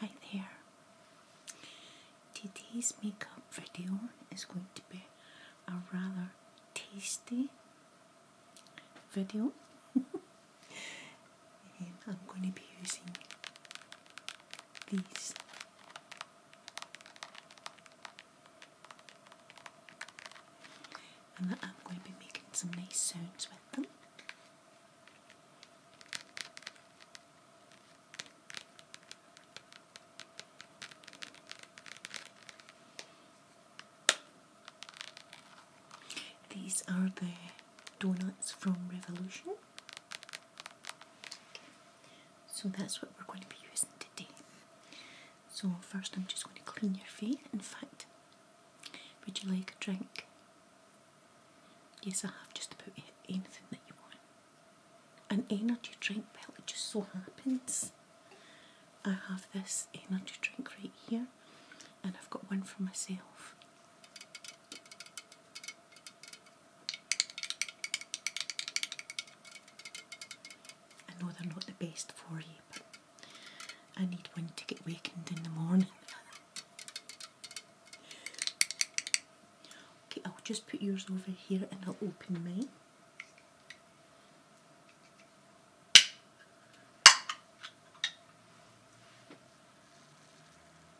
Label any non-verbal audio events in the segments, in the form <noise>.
Hi there. Today's makeup video is going to be a rather tasty video. <laughs> and I'm going to be using these. And I'm going to be making some nice sounds with them. These are the donuts from Revolution. So that's what we're going to be using today. So first I'm just going to clean your feet. In fact, would you like a drink? Yes, I have just about anything that you want. An energy drink, well it just so happens. I have this energy drink right here and I've got one for myself. I know they're not the best for you, but I need one to get wakened in the morning. okay, I'll just put yours over here and I'll open mine.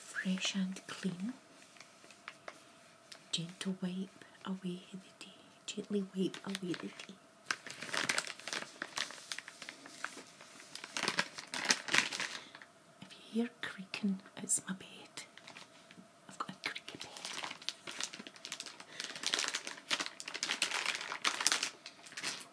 Fresh and clean. Gentle wipe away the day. Gently wipe away the day. If you hear creaking, it's my bed. I've got a creaky bed.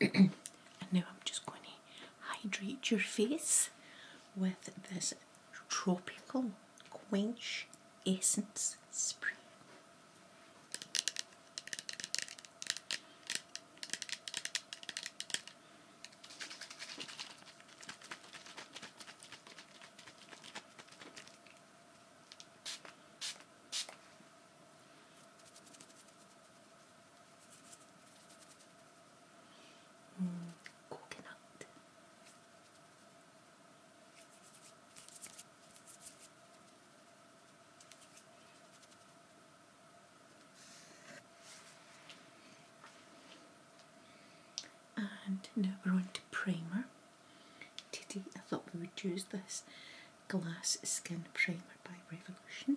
and now I'm just going to hydrate your face with this tropical quench essence spray and now we're on to primer today I thought we would use this Glass Skin Primer by Revolution.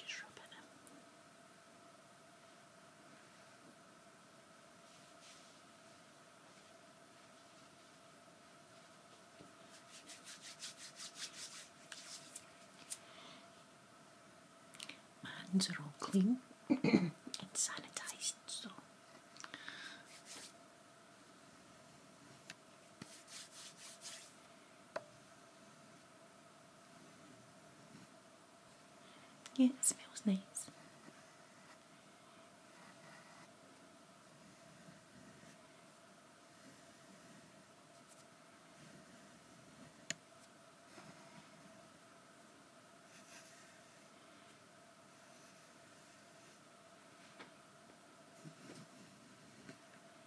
Die Schuppen. Ne? My hands are all clean <clears throat> and sanitized, so Yeah, it smells nice.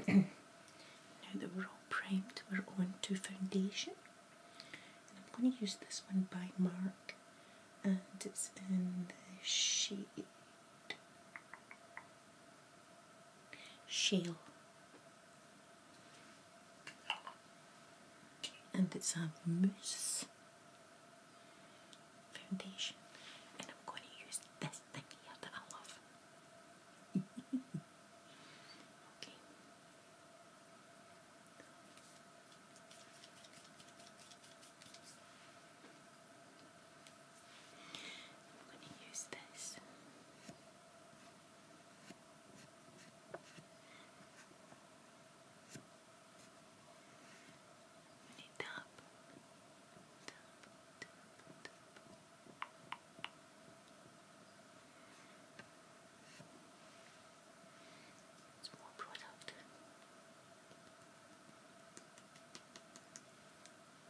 now that we're all primed, we're on to foundation. And I'm going to use this one by Mark, and it's in the shade shell and it's a mousse foundation and I'm going to use this thing here that I love <laughs> I'm going to use this when it tap, tap, It's more product.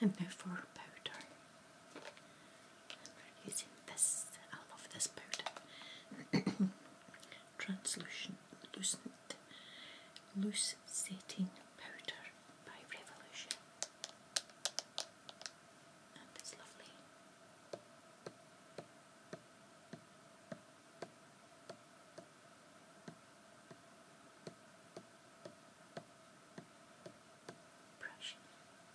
And now for powder. We're using this. I love this powder. <coughs> Translucent, loose setting powder by Revolution and it's lovely. Brush. Okay.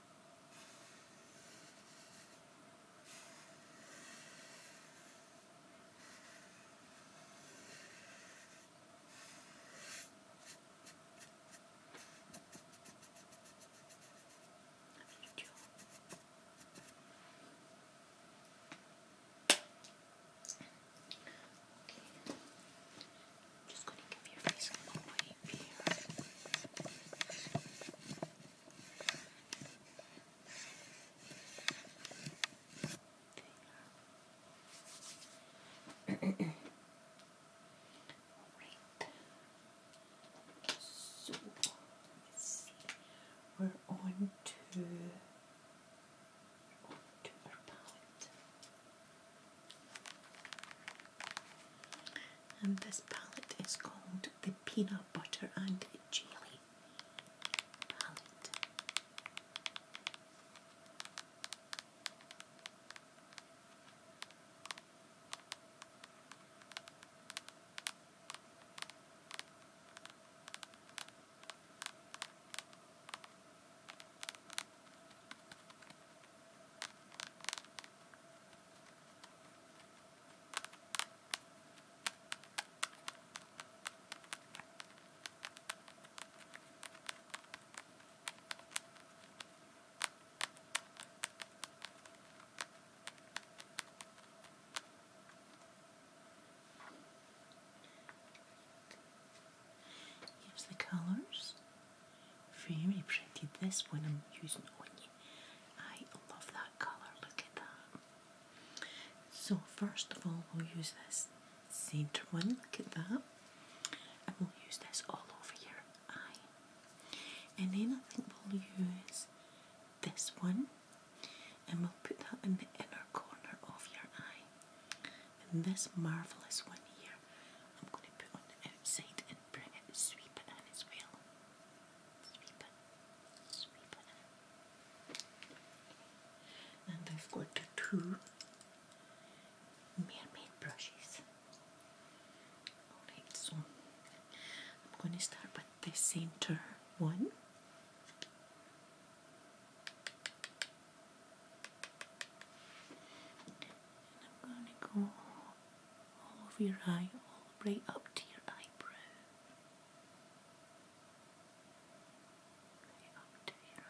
Okay. I'm just going to give your face a little so let's see. We're on to, to our palette. And this palette is called the Peanut Butter and Jelly palette. Here's the colors very pretty. This one I'm using on you. I love that colour. Look at that. So first of all, we'll use this centre one. Look at that. And we'll use this all over here. eye. And then I think we'll use this one and we'll put that in the inner corner of your eye. And this marvellous one here, I'm going to put on the outside and bring it, sweeping it in as well. And I've got two mermaid brushes. Alright, so I'm going to start with the centre one. And I'm going to go all over your eye, all the way up to your eyebrow. Right up to your eyebrow.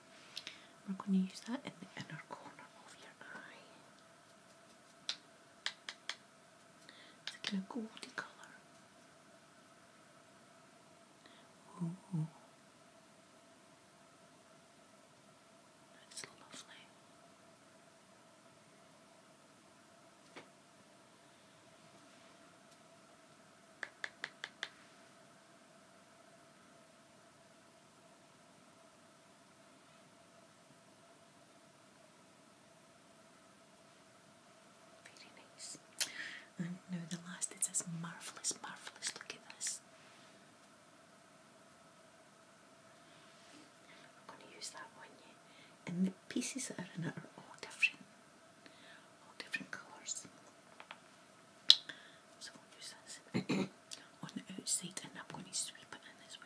We're going to use that in the inner corner of your eye. It's a kind colour. Ooh. That's lovely. Very nice. And now the last is this marvellous, marvellous look at this. I'm going to use that one And the pieces that are in it are all different. All different colours. So we'll use this. <clears throat> on the outside and I'm going to sweep it in as well.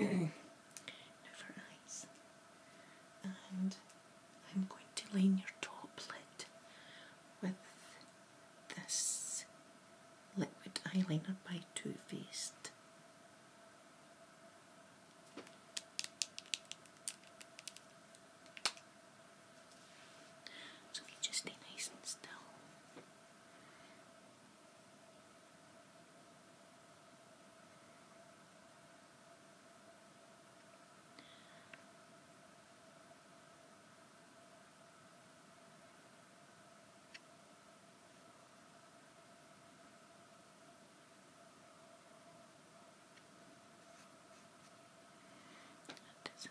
and over eyes. And I'm going to line your top lid with this liquid eyeliner by Too Faced. So just stay nice and still. That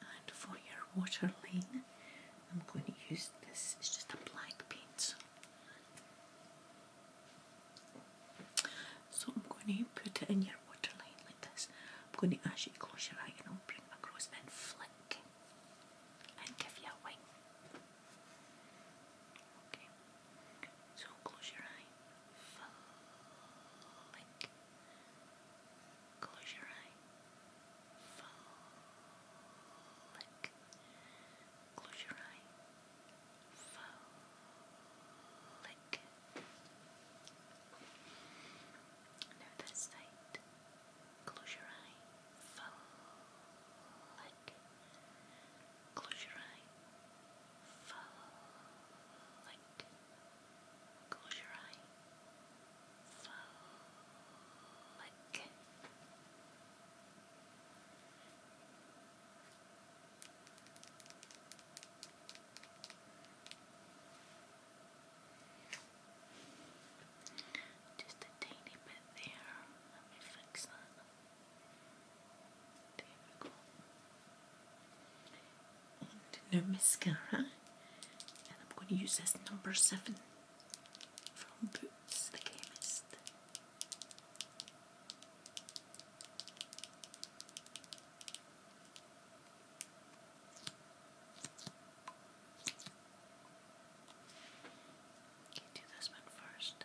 And for your waterline, I'm going to use this, it's just a black pencil. So I'm going to put it in your waterline like this. I'm going to actually close your eye and I'll bring my cross and flick and give you a wing. Okay, so close your eye, flick, Close your eye. Flick. Close your eye. Flick. Now this side. Close your eye. Flick. Close your eye. Flick. Close your eye. Flick. Just a tiny bit there. Let me fix that. There we go and no mascara. And I'm going to use this number seven from Boots the Chemist. do this one first.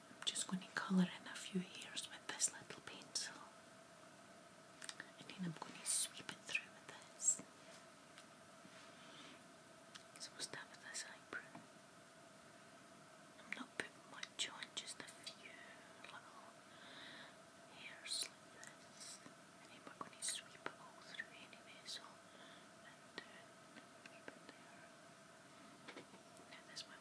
I'm just going to colour in a few hairs with this little pencil and then I'm going to sweep it through with this. So we'll start with this eyebrow. I'm not putting much on, just a few hairs like this. And then we're going to sweep it all through anyway, so and down, this one.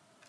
The same.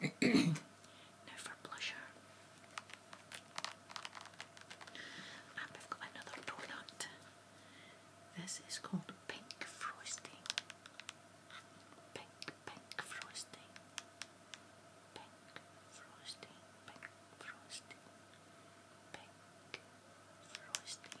now for blusher. And we've got another donut. This is called Pink Frosting. Pink, pink frosting. Pink frosting, pink frosting, pink frosting.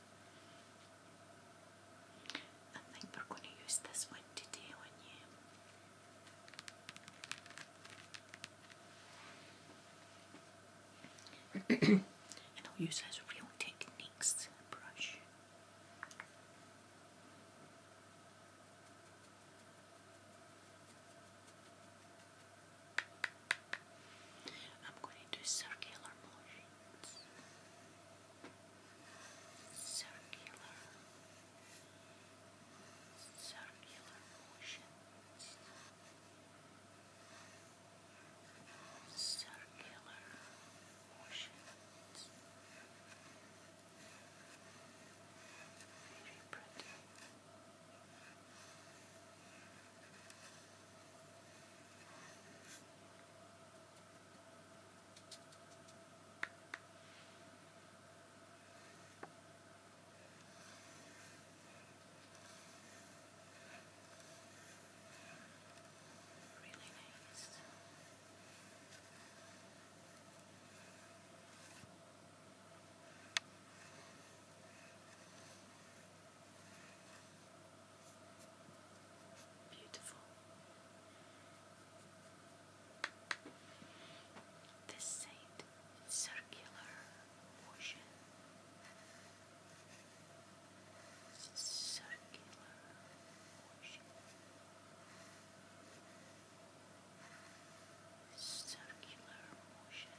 I think we're going to use this one today on you. <coughs> and I'll use those Real Techniques brush. I'm going to do circular motions. Circular. motions. Circular motions. Very Really nice. Very Beautiful. This saint circular motion. Circular motion. Circular motions.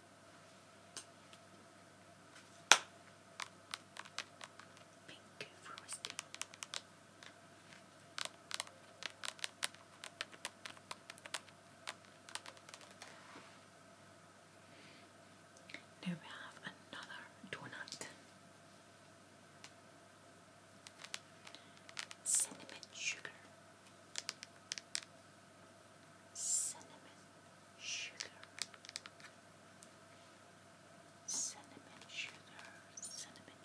Pink frosting. Now we have another donut. Cinnamon sugar. Cinnamon sugar, cinnamon sugar, cinnamon sugar. Cinnamon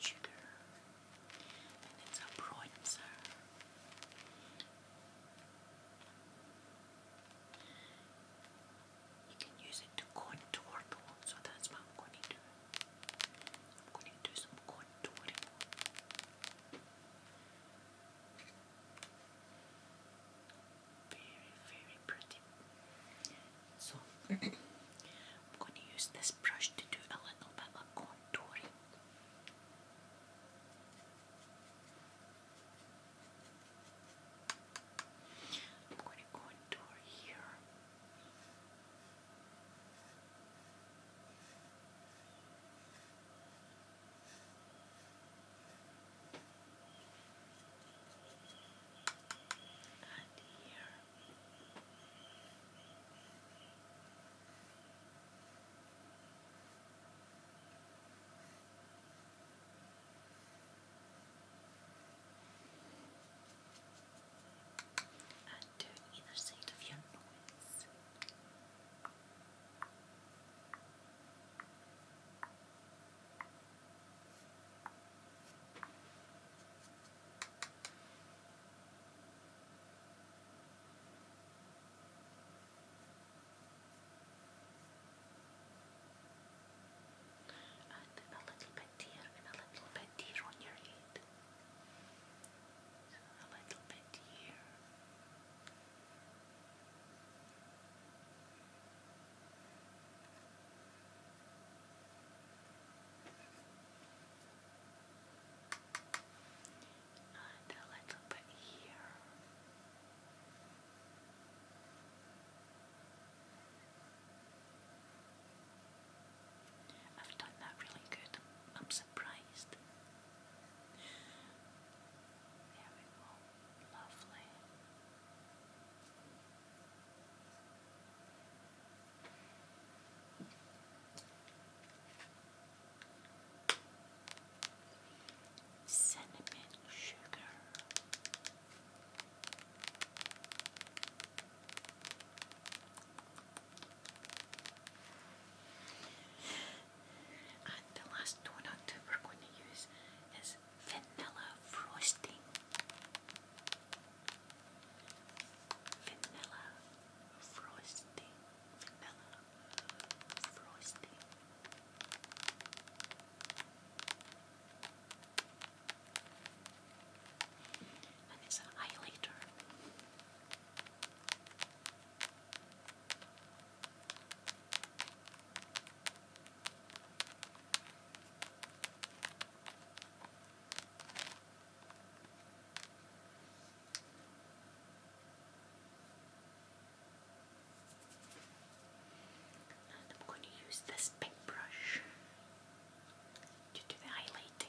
sugar, and it's a bronzer. You can use it to contour so that's what I'm going to do. I'm going to do some contouring. Very, very pretty. So, <clears throat> I'm going to use this brush to do a little bit of contouring. I'm going to go into here. And here and down either side of your nose and a little bit here and a little bit here on your head. a little bit here. And a little bit here. I've done that really good. I'm surprised. Lovely. Cinnamon sugar. And the last donut we're going to use is vanilla frosting. Vanilla frosting. Vanilla frosting and it's an highlighter. I'm going to use this pink brush to do the highlighting.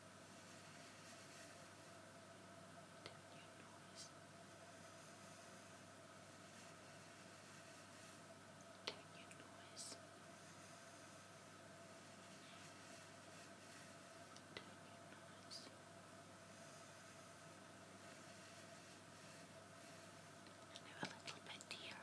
noise. Turn your noise. Turn your noise. And a little bit here.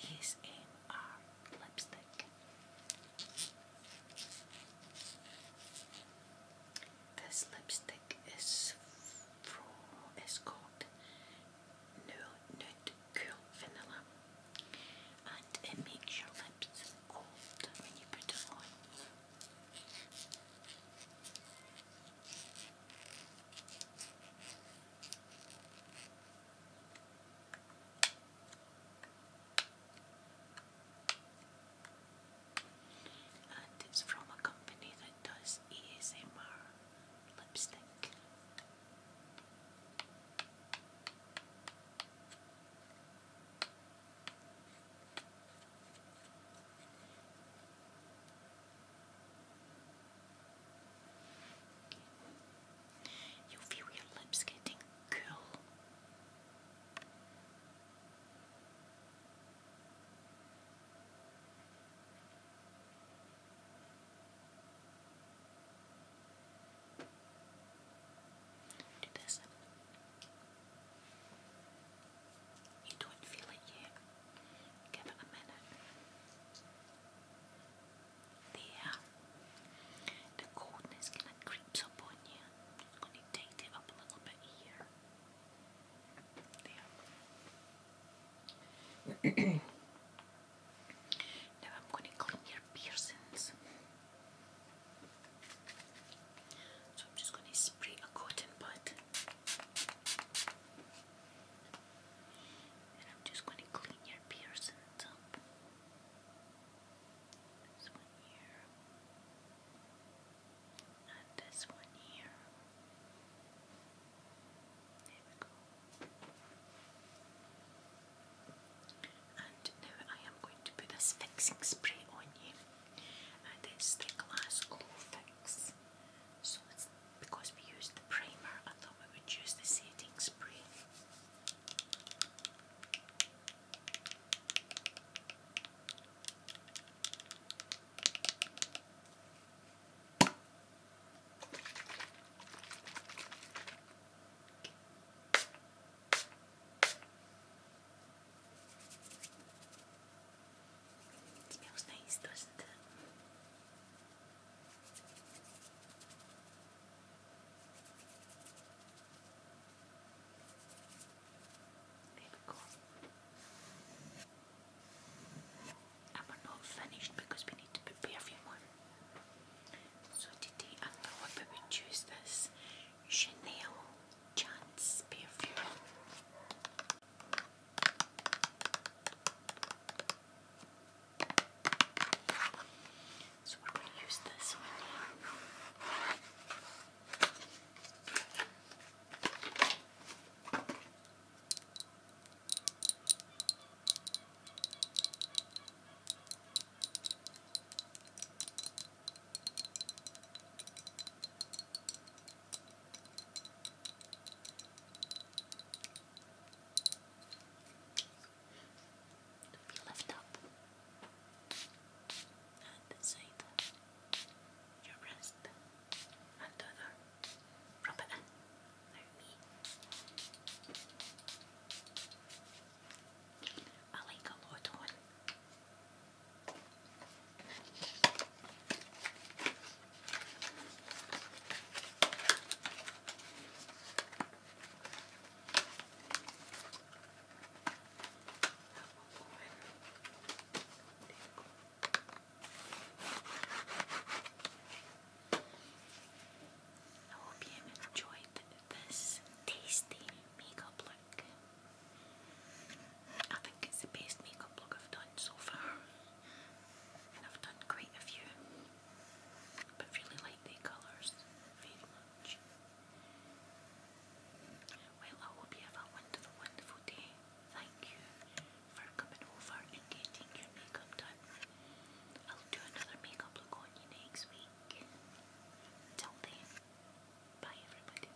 ESMR lipstick. This lipstick is from is called Nude Cool Vanilla, and it makes your lips cold when you put it on. And it's from a company that does ASMR lipstick. You feel your lips getting cool. Do this. You don't feel it yet. Give it a minute. There. The coldness kind of creeps up on you. I'm going to tighten it up a little bit here. There. <clears throat> now I'm going to clean your piercings. So I'm just going to spray a cotton bud. I'm just going to clean your piercing up. This one here. And this one here. There we go. And now I am going to put this fixing spray on you. And it's the Glass Fix. So it's because we used the primer, I thought we would use the setting spray. smells nice, doesn't it? There we not finished because we need to prepare for So today I thought we would choose this Chanel Chance perfume. So we're going to use this one here to be up and side your wrist and other rub it in through me. I like a lot on. I hope you enjoyed this tasty makeup look. I think it's the best makeup look I've done so far, and I've done quite a few. But really like the colours very much. Well, I hope you have a wonderful, wonderful day. Thank you for coming over and getting your makeup done. I'll do another makeup look on you next week. Till then, bye everybody.